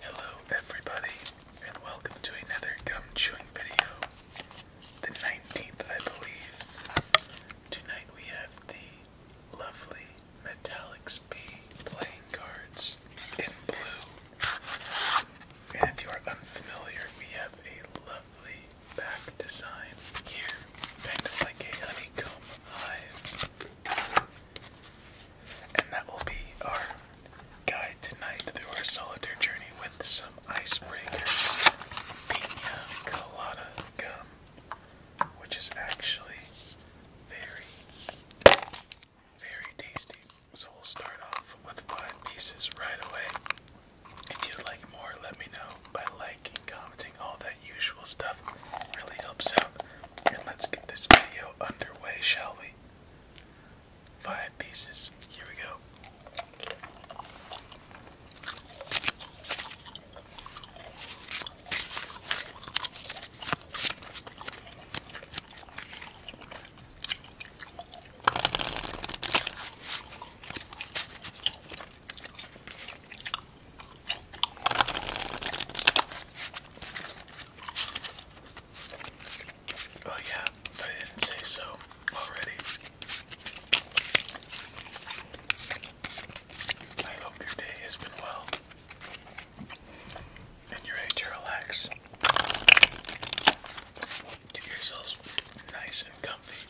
Hello, everybody, and welcome to another gum chewing video. The 19th, I believe. Tonight we have the lovely Metallics B playing cards in blue. And if you are unfamiliar, we have a lovely back design here, kind of like a honeycomb hive. And that will be our guide tonight through our solitaire journey with some icebreakers. Pina colada gum, which is actually very, very tasty. So we'll start off with five pieces right away. If you like more, let me know by liking, commenting all that usual stuff really helps out. And let's get this video underway, shall we? Five pieces. Here we go. Oh yeah, I didn't say so already. I hope your day has been well and you're ready to relax. Get yourselves nice and comfy.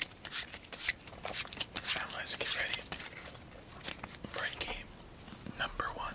And let's get ready Board game number one.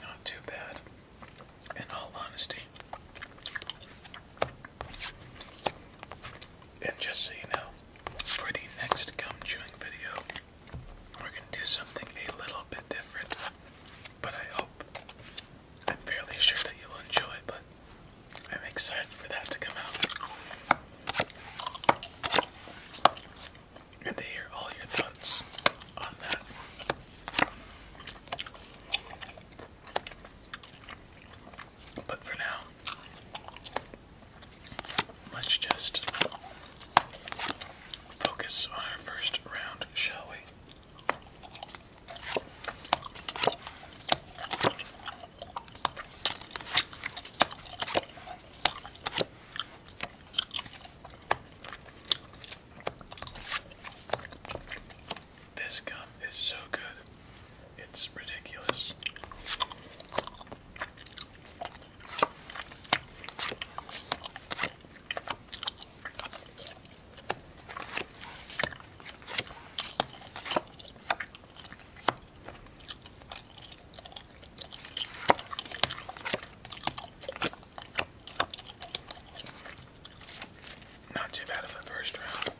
Not too bad, in all honesty. And just so you know, for the next gum chewing video, we're going to do something a little bit different. But I hope, I'm fairly sure that you'll enjoy, but I'm excited for that to come out and to hear all your thoughts on that. But for now, let's just focus on our first round, shall we? This gum is so good. It's ridiculous. Not too bad of a first round.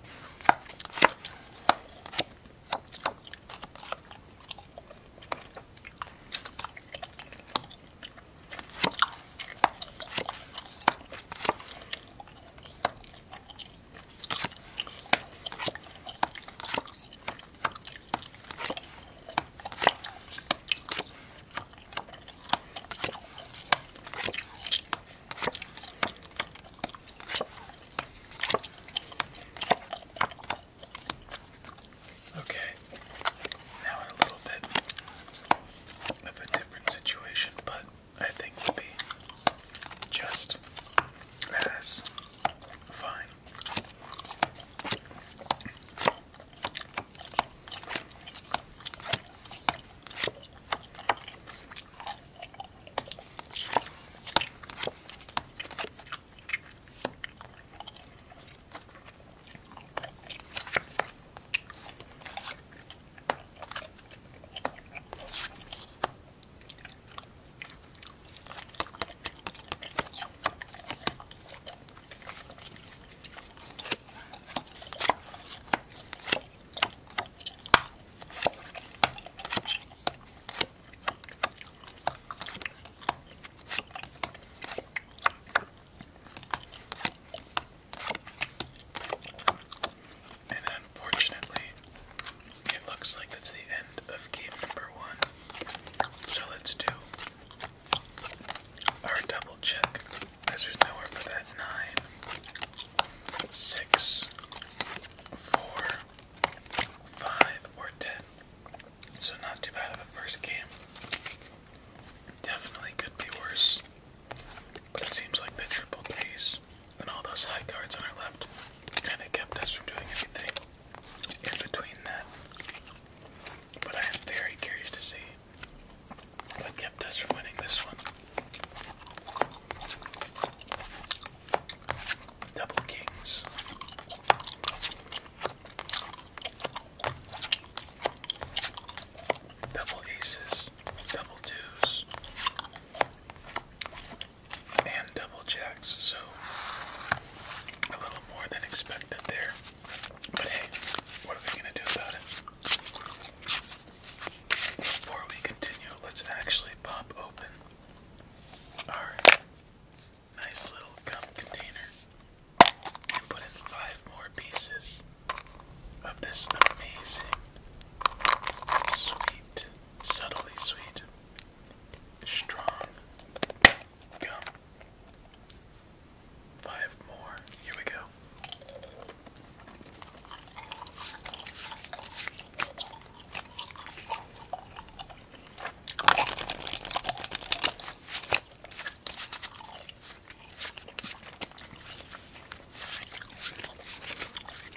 Okay, now in a little bit of a different situation, but I think will be just as fine. And unfortunately, it looks like that's the end of game number one. So let's do our double check. As there's nowhere for that nine, six, four, five, or ten. So not too bad of a first game. Definitely could be worse. But it seems like the triple pays and all those high cards on our left kind of kept us from doing anything in between that. But I am very curious to see what kept us from winning this one. Double kings. Double aces, double twos, and double checks, so a little more than expected there. But hey, what are we gonna do about it? Before we continue, let's actually pop open our nice little gum container and put in five more pieces of this amazing, sweet, subtly sweet strong gum. Five more. Here we go.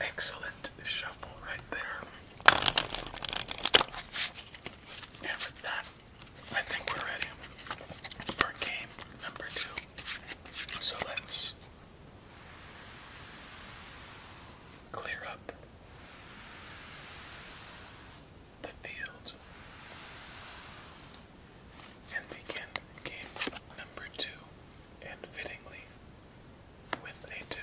Excellent shuffle right there. And with that, I think we're ready for game number two. So let's clear up the field and begin game number two, and fittingly with a two.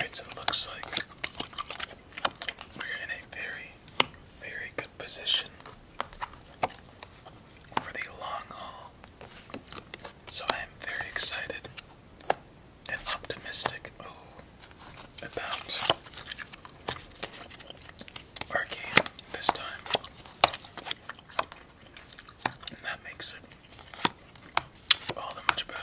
it looks like we're in a very, very good position for the long haul. So I am very excited and optimistic about Arcane this time. And that makes it all that much better.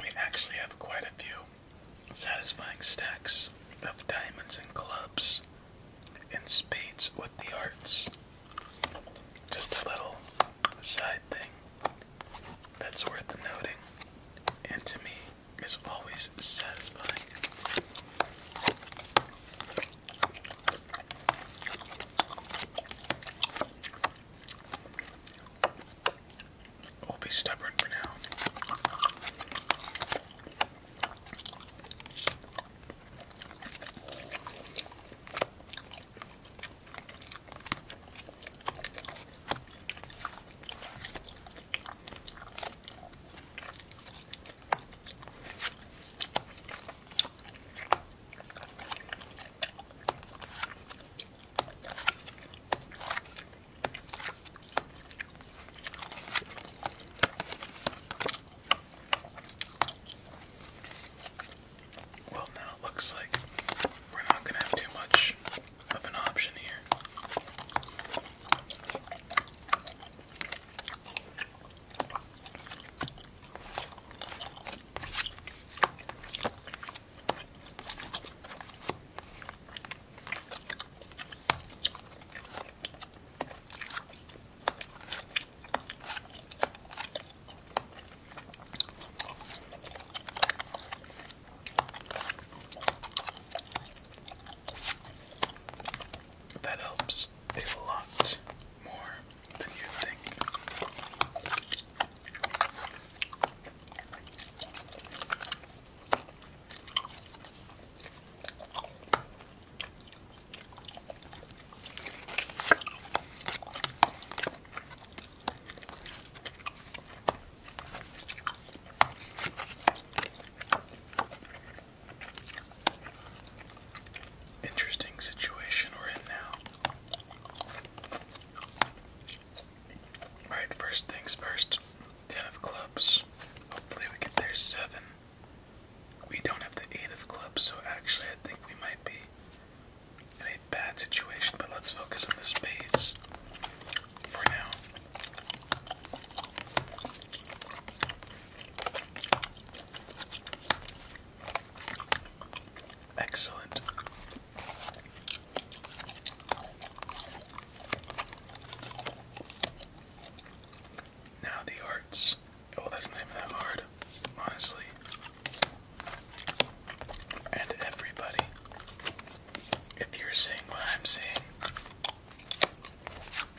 we actually have quite a few satisfying stacks of diamonds and clubs and spades with the hearts. Just a little side thing that's worth noting, and to me is always satisfying. We'll be stubborn for now. Well, now it looks like we're not going to have too much of an option here. That helps a lot more than you think. Interesting situation we're in now. Alright, first things first. Ten of clubs. Hopefully we get there seven. We don't have the eight of clubs, so actually I think we might be in a bad situation, but let's focus on the spades for now. Excellent. Now the hearts. Oh, that's not that hard, honestly. And everybody, if you're seeing what I'm seeing,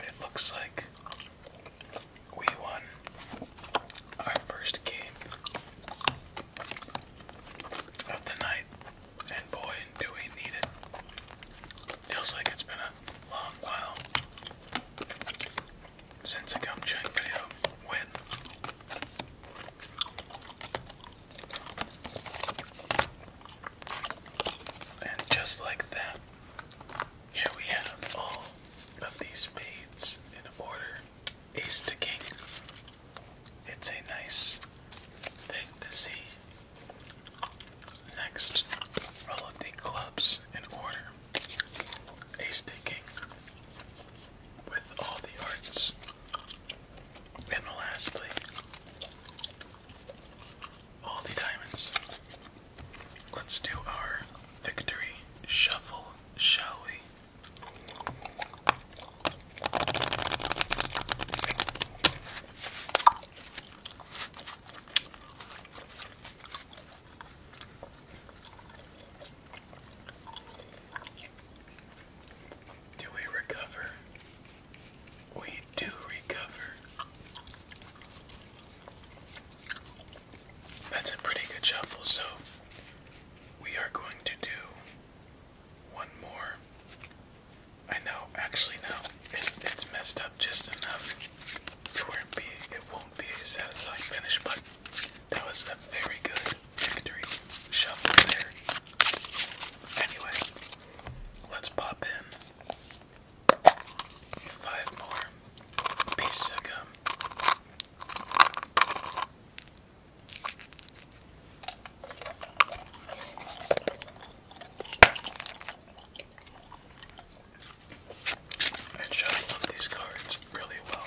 it looks like we won our first game of the night, and boy, do we need it. Feels like it's been a long while since a gum chewing video went. And just like that, here we have all of these spades in order ace to king, it's a nice thing to see. Next, all of the clubs in order. Ace taking with all the arts. And lastly, all the diamonds. Let's do our victory shuffle, shall we? Do we recover? We do recover. That's a pretty good shuffle, so we are going to do one more. I know, actually, no, it's messed up just enough to where it, be, it won't be a satisfying finish, but that was a very good victory shuffle there. Anyway, let's pop in five more pieces of gum. And Shad love these cards really well.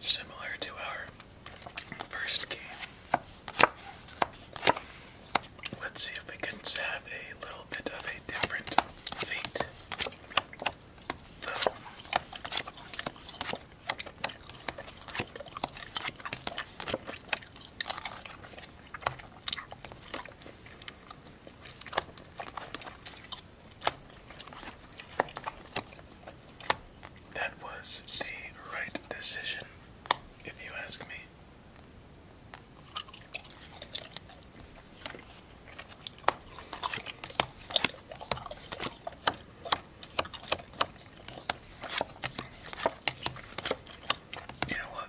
Similar to our first game. Let's see if we can have a little bit of a different fate. That was the right decision, if you ask me. You know what?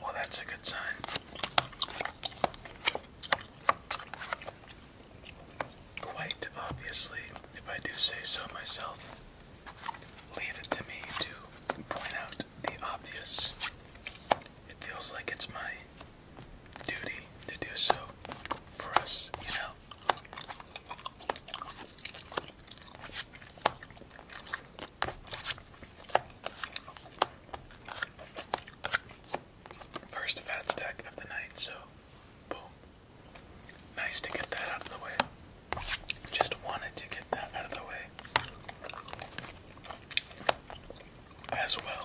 Well, that's a good sign. Quite obviously, if I do say so myself, leave it to me to point out the obvious. It feels like it's my duty to do so for us, you know. First fat stack of the night, so boom. Nice to get that out of the way. Just wanted to get that out of the way as well.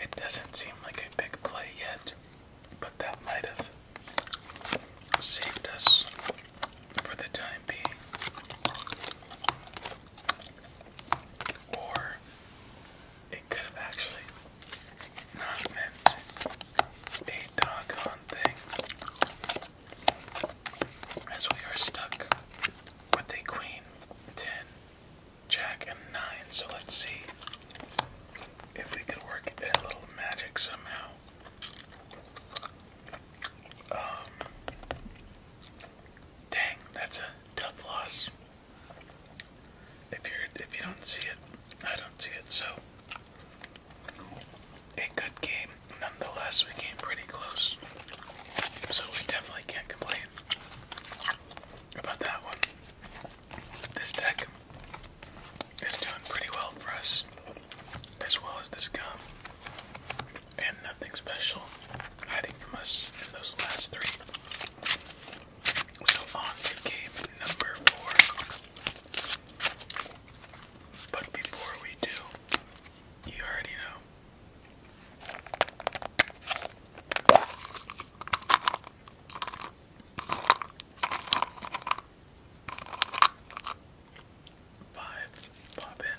It doesn't seem like a big play yet, but that might have saved us for the time being. Or it could have actually not meant a doggone thing, as we are stuck with a queen, ten, jack, and nine. So let's see if we could work a little magic somehow. Um, dang, that's a tough loss if you're if you don't see it, I don't see it. So a good game, nonetheless. We came pretty close, so we definitely can't complain about that one. This deck is doing pretty well for us, as well as this gum, and nothing special hiding from us in those last three. So on to game number four. But before we do, you already know. Five, pop in.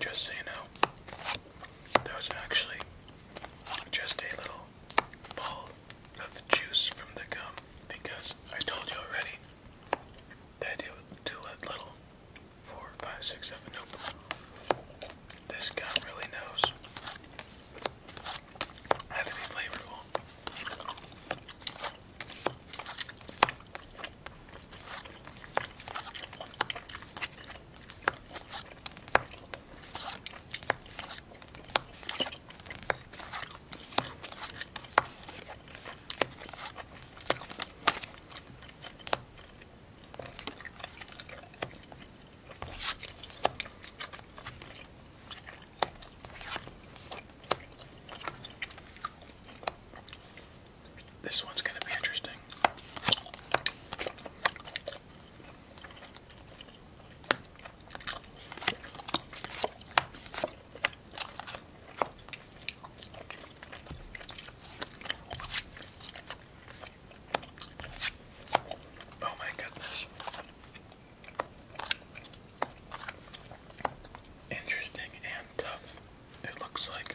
Just so you know, that was actually just a little ball of juice from the gum because I told you already they do do it little. Four, five, six, seven. This guy really knows how to be flavorful. This one's going to be interesting. Oh my goodness. Interesting and tough, it looks like.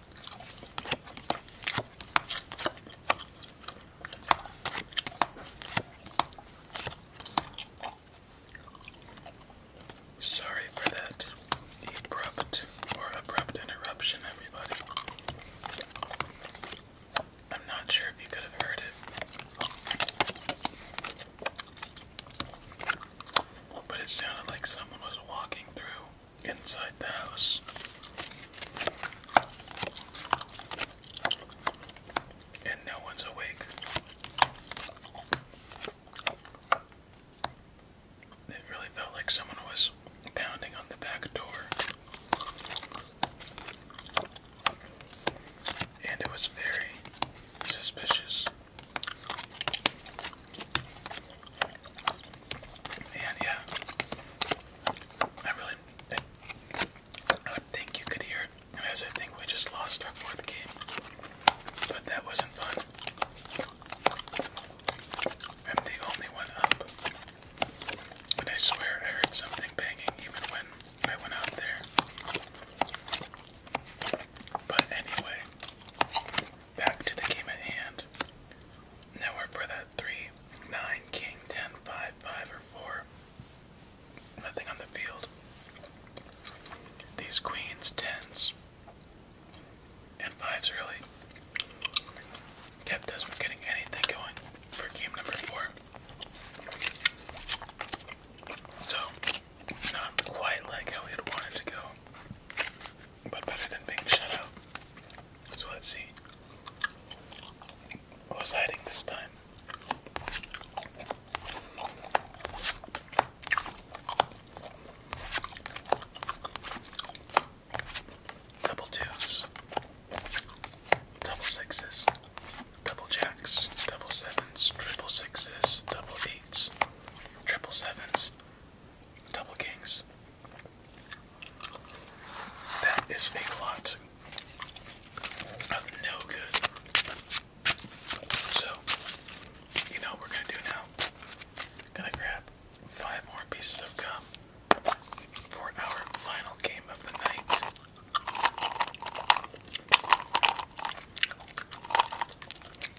Sorry for that abrupt or abrupt interruption, everybody. I'm not sure if you could have heard it, but it sounded like someone was walking through inside the house. And no one's awake. It really felt like someone was pounding on the back door. And it was very suspicious. And yeah, I really, I would think you could hear I think we just lost our fourth game, but that wasn't fun. I'm the only one up, and I swear I heard something banging even when I went out there. But anyway, back to the game at hand. Nowhere for that 3, 9, King, 10, 5, or 4. Nothing on the field. These queens, 10s, and 5s really kept us from getting anything going for game number 4. So, not quite like how we had wanted to go but better than being shut out. So let's see. Who's hiding this time? Double twos, double sixes, double jacks, double sevens, triple sixes, double eights, triple sevens, double kings, that is a lot of no good. So, you know we're gonna do now? Gonna grab five more pieces of gum for our final game of the night.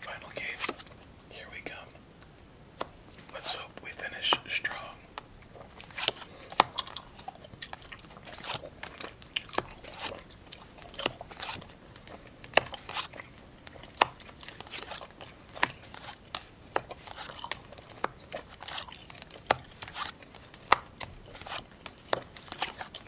Final game. Here we come. Let's hope we finish strong.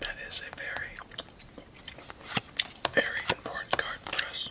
That is a very, very important card for us.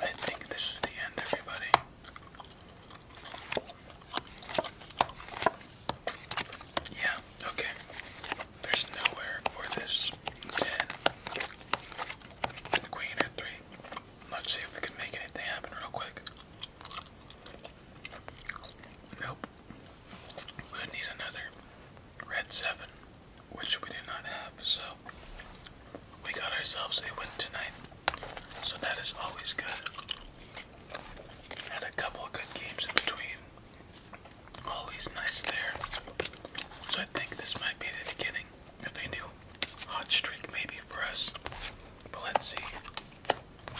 I think this is the end, everybody. Yeah, okay. There's nowhere for this 10. queen at 3. Let's see if we can make anything happen real quick. Nope we need another red seven, which we do not have, so we got ourselves a win tonight. So that is always good. Had a couple of good games in between. Always nice there. So I think this might be the beginning of a new hot streak maybe for us. But let's see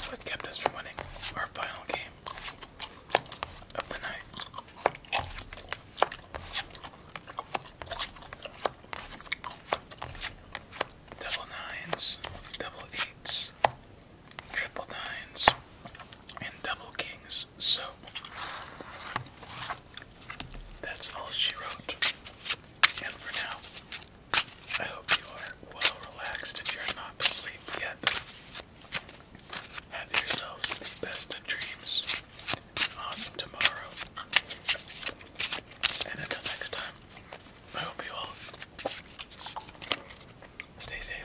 what kept us from winning our final game. Up and out. Double nines, double eights, triple nines, and double kings. So that's all she wrote. And for now, I hope you are well relaxed if you're not asleep yet. Have yourselves the best of dreams, awesome tomorrow. And until next time, I hope you all stay safe.